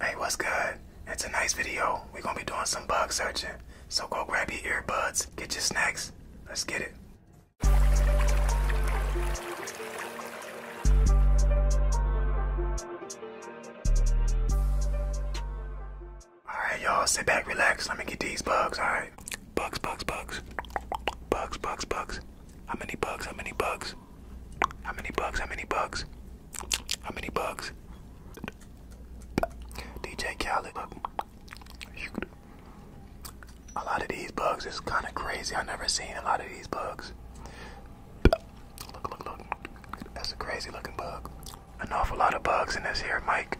Hey, what's good? It's a nice video. We're gonna be doing some bug searching. So go grab your earbuds, get your snacks. Let's get it. Alright, y'all, sit back, relax. Let me get these bugs, alright? Bugs, bugs, bugs. Bugs, bugs, bugs. How many bugs? How many bugs? How many bugs? How many bugs? How many bugs? DJ Khaled. A lot of these bugs is kind of crazy. i never seen a lot of these bugs. Look, look, look. That's a crazy looking bug. An awful lot of bugs in this here, Mike.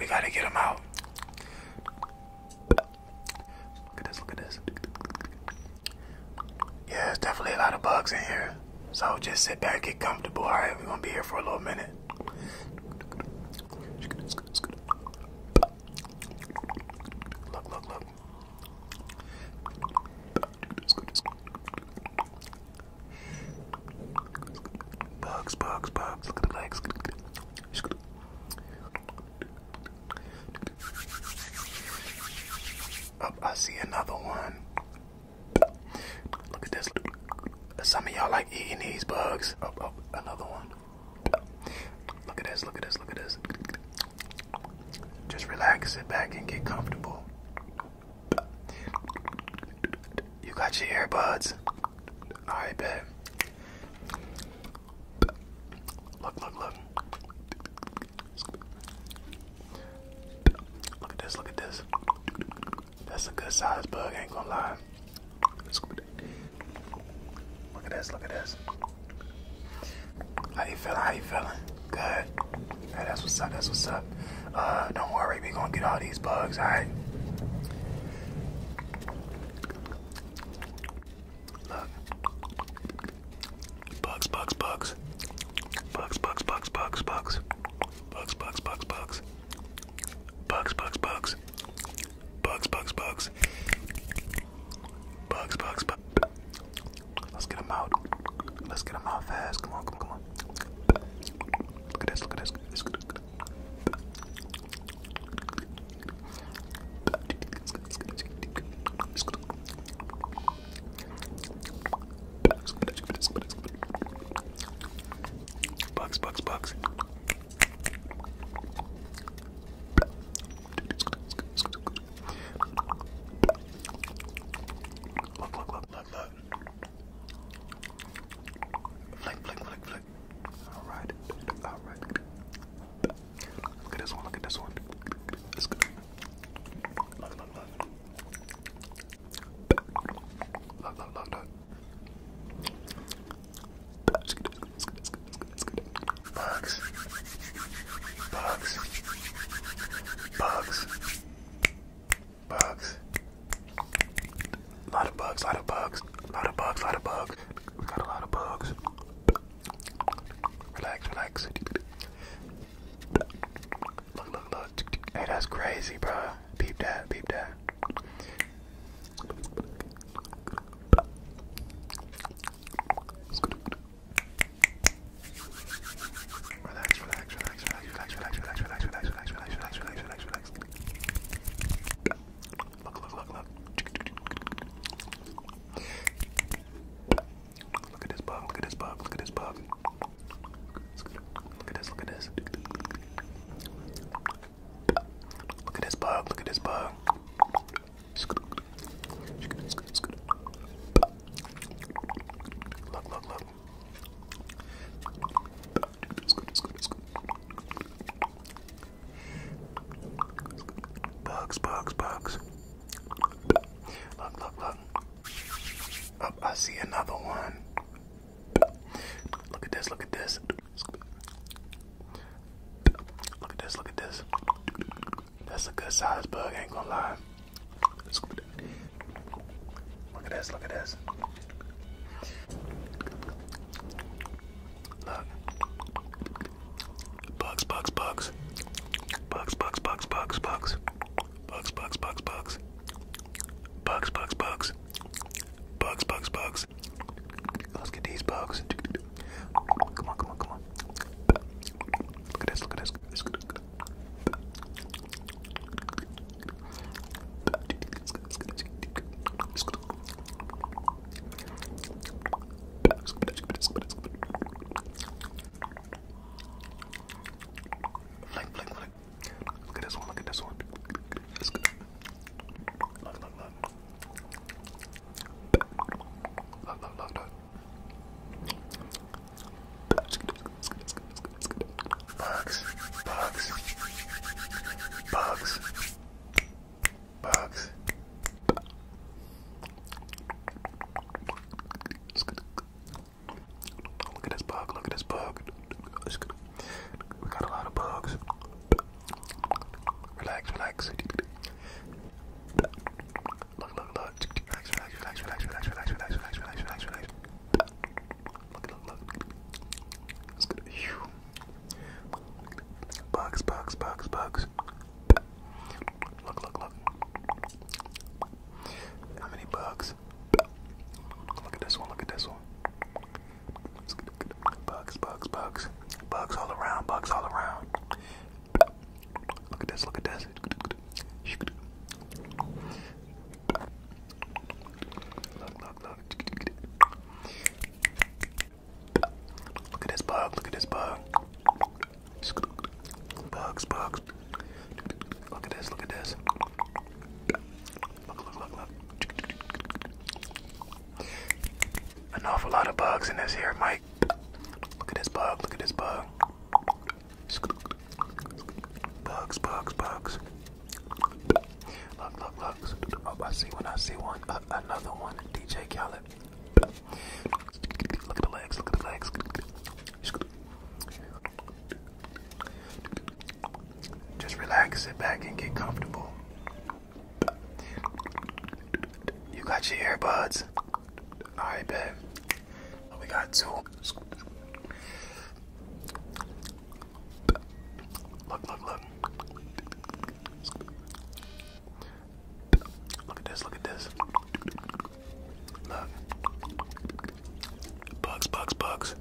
We gotta get them out. Look at this, look at this. Yeah, it's definitely a lot of bugs in here. So just sit back, get comfortable. All right, we're gonna be here for a little minute. Look, look, look. Bugs, bugs, bugs. Look at the legs. Oh, I see another one. Look at this. Some of y'all like eating these bugs. Oh, oh, another one. Look at this, look at this, look at this. Just relax, sit back, and get comfortable. You got your earbuds. I bet. Look, look, look. Look at this, look at this. That's a good size bug, ain't gonna lie. Look at this, look at this. How you feeling? How you feeling? Good. Hey, that's what's up, that's what's up. Uh, don't worry, we gonna get all these bugs, alright? Look. Bugs, bugs, bugs. Bugs, bugs, bugs, bugs, bugs. Bugs, bugs, bugs, bugs. Bugs, bugs, bugs. Bugs, bugs, bugs. Bugs, bugs, bugs. Let's get them out. Let's get them out fast. Come on, come on, come on. Look at this, look at this. Look at this. Bugs, bugs, bugs. Look, look, look, look, look. Flick, flick, flick, flick right, all right, all right. Look at this one. Look at this one. It's good. Look, look, look. Look, look, look, look. Bugs. Bugs. Bugs. Bugs. A lot of bugs, a lot of bugs, a lot of bugs, a lot of bugs. We got a lot of bugs. Relax, relax. Look, look, look. Hey, that's crazy, bro. Peep that, peep that. Relax, relax, relax, relax, relax, relax, relax, relax, relax, relax, relax, relax, relax, relax, relax, relax. Look, look, look, look. Look at this bug, look at this bug, look at this bug. Look at this, look at this. Look at this bug, look at this bug. Look, look, look. Bugs, bugs, bugs. Look, look, look. Oh, I see another one. Look at this, look at this. Look at this, look at this. That's a good size bug, ain't gonna lie. Look at this, look at this. Look. Bugs, bugs, bugs. Bugs, bugs, bugs, bugs, bugs. Bugs, bugs, bugs, bugs. Bugs, bugs, bugs. Bugs, bugs, bugs. Let's get these bugs. Come on, come on, come on. Look at this, look at this. Blink, blink, blink. Look at this one, look at this one. It's good. Look, look, look. Look, look, look, look. Bugs, bugs, bugs, Bugs. Look at this bug, look at this bug. We got a lot of bugs. Relax, relax. Relax, relax, relax, relax, relax, relax, relax, relax, relax, relax, relax. Bugs, bugs, bugs, bugs. Look, look, look. How many bugs? Look at this one, look at this one. Bugs, bugs, bugs. Bugs all around, bugs all around. Look at this, look at this. Look, look, look. Look at this bug. Look at this bug. Bugs, bugs. Look at this. Look at this. Look, look, look, look. An awful lot of bugs in this here, Mike. Look at this bug. Look at this bug. Bugs, bugs, bugs. Look, look, look. Oh, I see one. I see one. another one. DJ Khaled. Look at the legs. Look at the legs. Just relax, sit back, and get comfortable. You got your earbuds. All right, babe. We got two. Look, look, look. Look at this, look at this. Look. Bugs, bugs, bugs.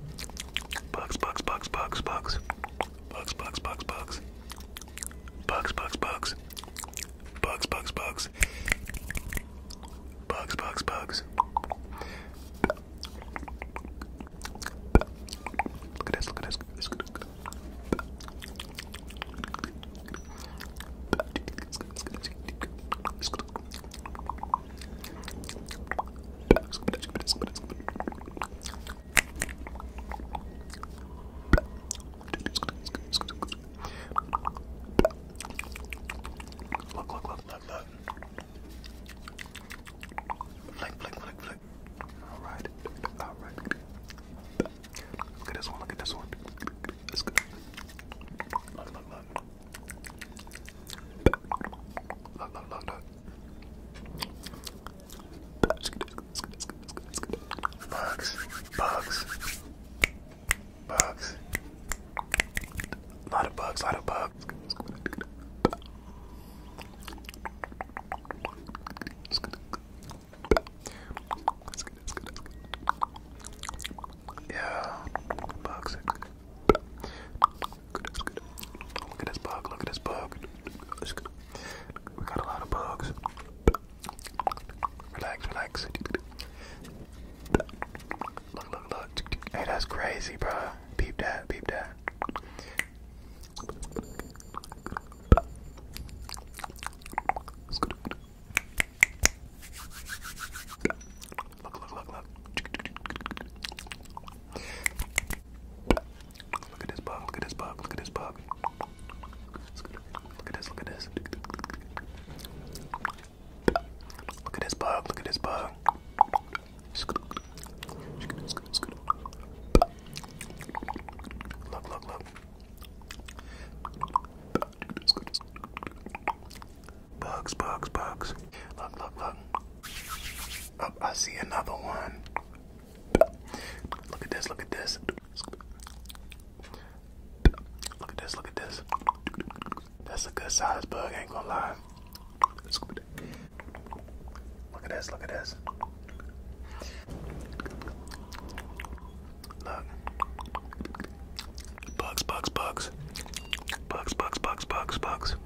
Bugs, bugs, bugs, bugs, bugs. Bugs, bugs, bugs, bugs. Bugs, bugs, bugs. Bugs, bugs, bugs. Bugs, bugs, bugs. Look at this, look at this, look at this, look at Look, look, look, look, look. Blink, blink, blink, blink, look. All right, all right. Look at this one. Look at this one. That's good. Look, look, look. Look, look, look, look. Bugs, bugs, bugs. A lot of bugs, a lot of bugs. Yeah, bugs. Look at this bug. Look at this bug. We got a lot of bugs. Relax, relax. Look, look, look. Hey, that's crazy, bro. Beep that, beep that. Look, look, look, look. Look at this bug, look at this bug, look at this bug. Look at this, look at this. Look at this bug, look at this bug. Look, look, look. Bugs, bugs, bugs. Look, look, look. Oh, I see another one. Look at this, look at this. Look at this, look at this. That's a good size bug, ain't gonna lie. Look at this, look at this. Look. Bugs, bugs, bugs. Bugs, bugs, bugs, bugs, bugs.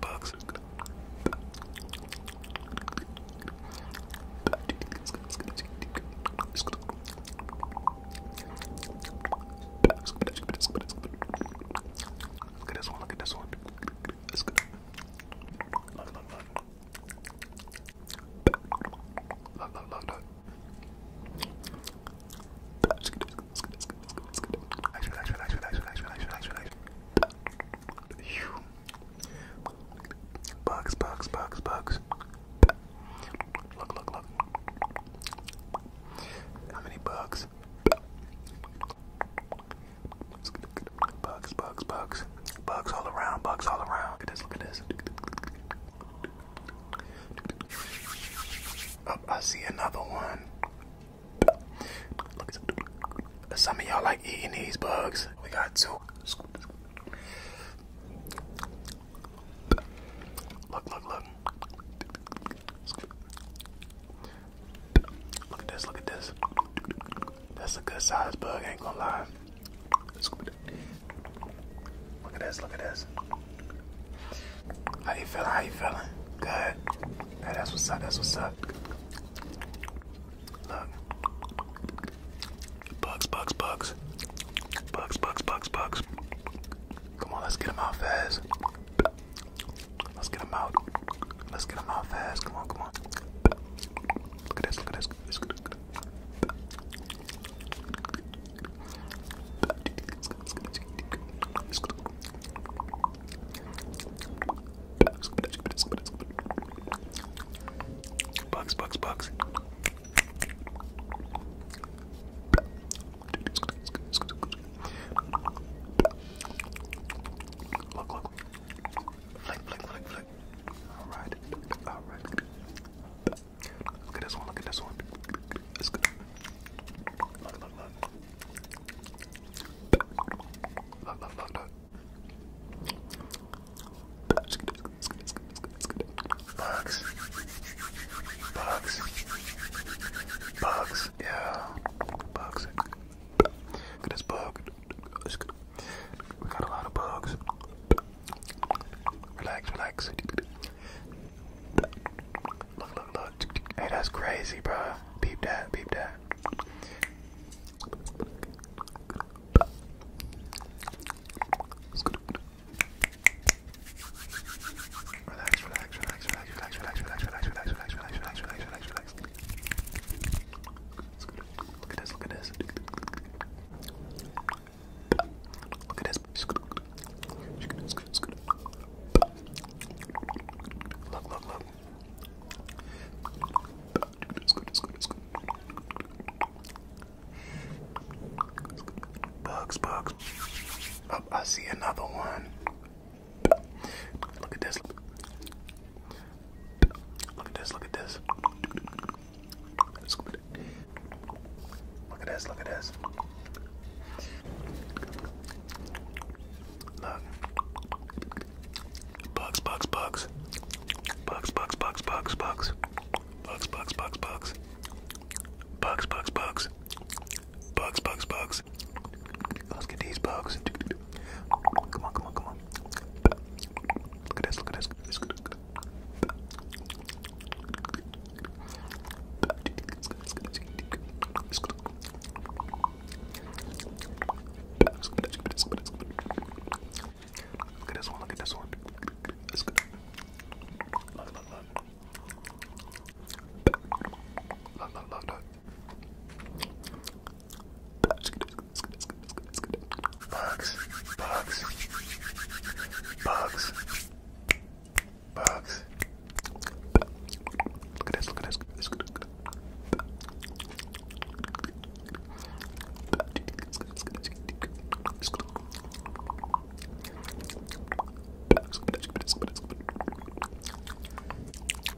Bugs, Look at this one, look at this one. Look, look, look. Look, look, look, look. Actually, actually, actually, actually, actually, actually, actually, actually. Bugs, bugs, bugs, bugs. Look, look, look. How many bugs? Bugs, bugs, bugs. Bugs all around, bugs all around. Look at this, look at this. Oh, I see another one. Look at some of y'all like eating these bugs. We got two. Look, look, look. Look at this, look at this. That's a good size bug, ain't gonna lie. Look at this, look at this. How you feeling? How you feeling? Good. Hey, that's what's up, that's what's up. Look. Bugs, bugs, bugs. Bugs, bugs, bugs, bugs. Come on, let's get them out fast. Let's get him out. Let's get him out fast. Come on, come on. Look at this, look at this. Look at this. Flick, flick, flick, flick. All right, all right. Look at this one. Look at this one. It's good. Look, look, look. Look, look, look, look. Bugs. Bugs. Bugs. Bugs. Yeah. Bugs. Look at this bug. We got a lot of bugs. Relax, relax. Look, look, look. Hey, that's crazy, bro. Beep that, beep that. Relax, relax, relax, relax, relax, relax, relax, relax, relax, relax, relax, relax, relax, relax. Look at this, look at this. Look at this. Look, look, look. Bugs, bugs. I see another one. Look at this. Look at this. Look at this. Look at this. Look at this. Look. Bugs, bugs, bugs. Bugs, bugs, bugs, bugs, bugs. Bugs, bugs, bugs, bugs. Bugs, bugs, bugs. Bugs, bugs, bugs bugs. Let's get these bugs. Come on, come on, come on. Look at this, look at this. Look at this. Look at this one, look at this one. It's good. Look, look, look. Look, look, look, look. Bugs, bugs, bugs, bugs, bugs. Look at this, look at this, look at this, look at this.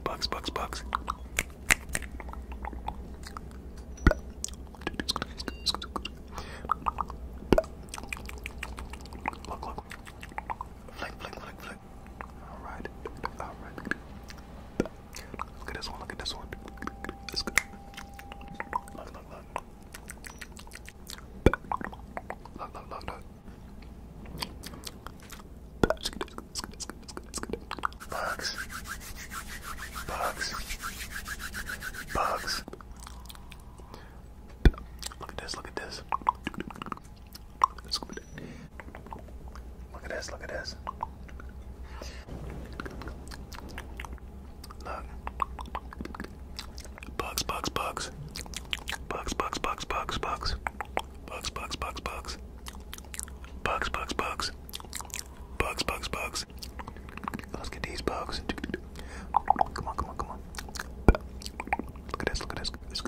Bugs, bugs, bugs. Look, look. Flick, flick, flick, flick. Alright. Alright. Look at this one, look at this one. It's good. Look, look, look. Look, look, look, look. Bugs. Bugs. Bugs. Bugs. Look at this, look at this. Look at this, look at this. Look. Bugs, bugs, bugs. Bugs, bugs, bugs, bugs, bugs. Bugs, bugs, bugs, bugs. Bugs, bugs, bugs. Bugs, bugs, bugs. Let's get these bugs. Come on, come on, come on. Look at this, look at this. Look at this.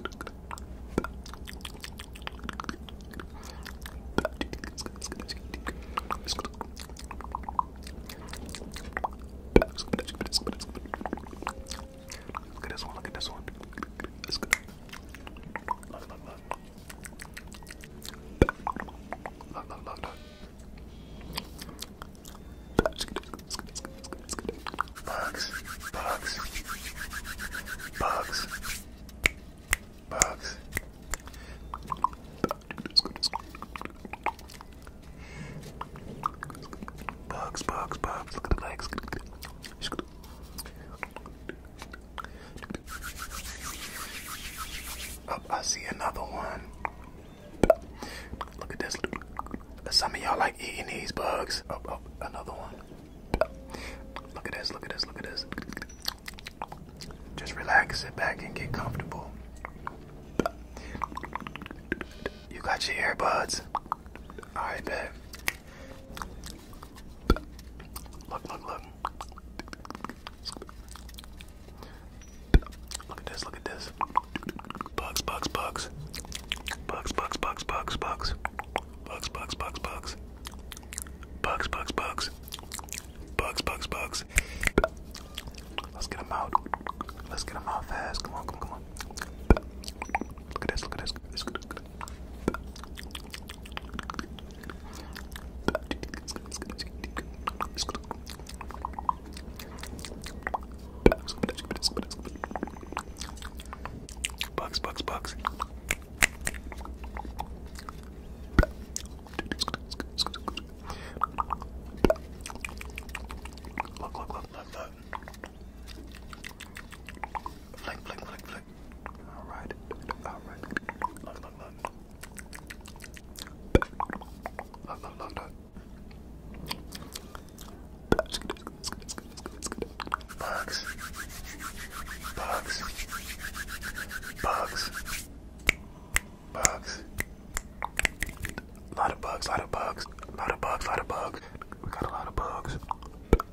Look at this one. Look at this one. It's good. Look, look, look. Look, look, look, look. Bugs, bugs, bugs, bugs. Bugs, bugs, bugs. Look at the legs. Oh, I see another one. Look at this. Some of y'all like eating these bugs. Oh, oh, another one. Look at this. Look at this. Look at this. Just relax, sit back, and get comfortable. You got your earbuds. I bet. Look, look, look. Look at this, look at this. Bugs, bugs, bugs. Bugs, bugs, bugs, bugs, bugs. Bugs, bugs, bugs, bugs. Bugs, bugs, bugs. Let's get out. Let's get out fast. Come on, come come on. Look at this, look at this. Look at this. Bugs, bugs, bugs. Look, look, look, look, look. Flick, flick, flick, flick right, all right, all right. Look, look, look. Look, look, look, look. Bugs. Bugs. Bugs. Bugs. Bugs. A lot of bugs, lot of bugs, lot of bugs, lot of bugs. We got a lot of bugs.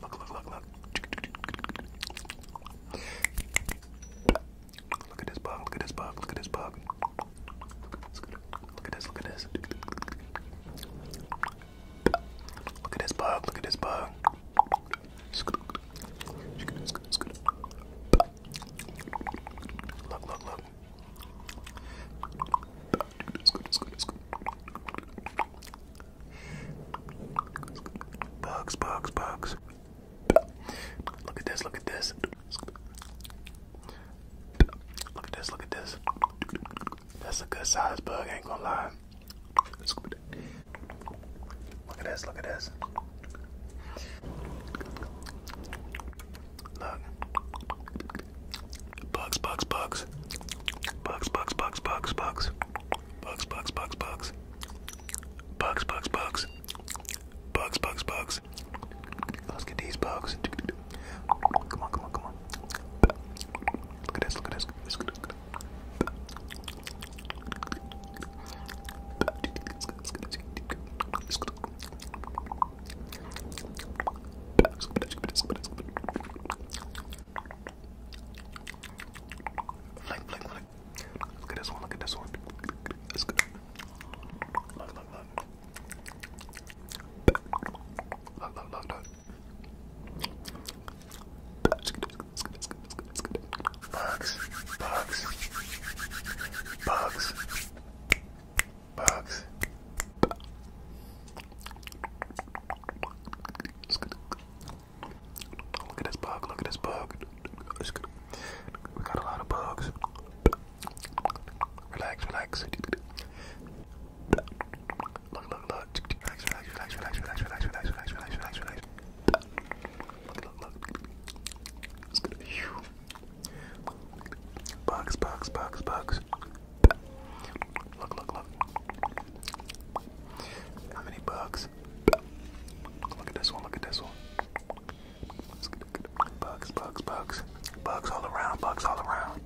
Look, look, look, look, look. Look at this bug, look at this bug, look at this bug. Look at this, look at this. Look at this bug, look at this bug. Look, look, look. Look at this, look at this, look at this. Bugs, bugs, bugs. Look at this, look at this. Look at this, look at this. That's a good size bug, ain't gonna lie. Look at this, look at this. Look. Bugs, bugs, bugs. Bugs, bugs, bugs, bugs, bugs. Bugs, bugs, bugs, bugs. Bugs, bugs, bugs. Bugs, bugs, bugs. Let's get these bugs. Come on, come on, come on. Look at this, look at this. Look at this. Blink, blink, blink. Look at this one, look at this one. It's good. Look, look, look. Look, look, look, look. Bugs, bugs, bugs, bugs, bugs. Look at this bug, look at this bug. We got a lot of bugs. Relax, relax. Look, look, look. Relax, relax, relax, relax, relax, relax, relax, relax, relax, relax, relax. Look, look, look. Bugs, bugs, bugs, bugs. Look, look, look. How many bugs? Look at this one, look at this one. Bugs, bugs, bugs. Bugs all around, bugs all around.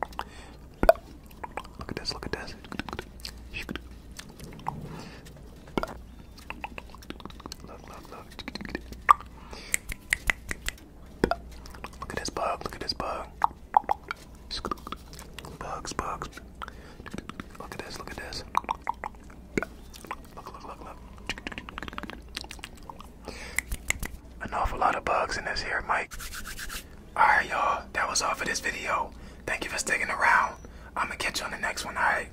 Look at this, look at this. Look, look, look. Look at this bug, look at this bug. Look Bugs, bugs. Look at this, look at this. Look, look, look, look. An awful lot of bugs in this here, Mike. Alright, y'all. That was all for this video. Thank you for sticking around. I'ma catch you on the next one, alright?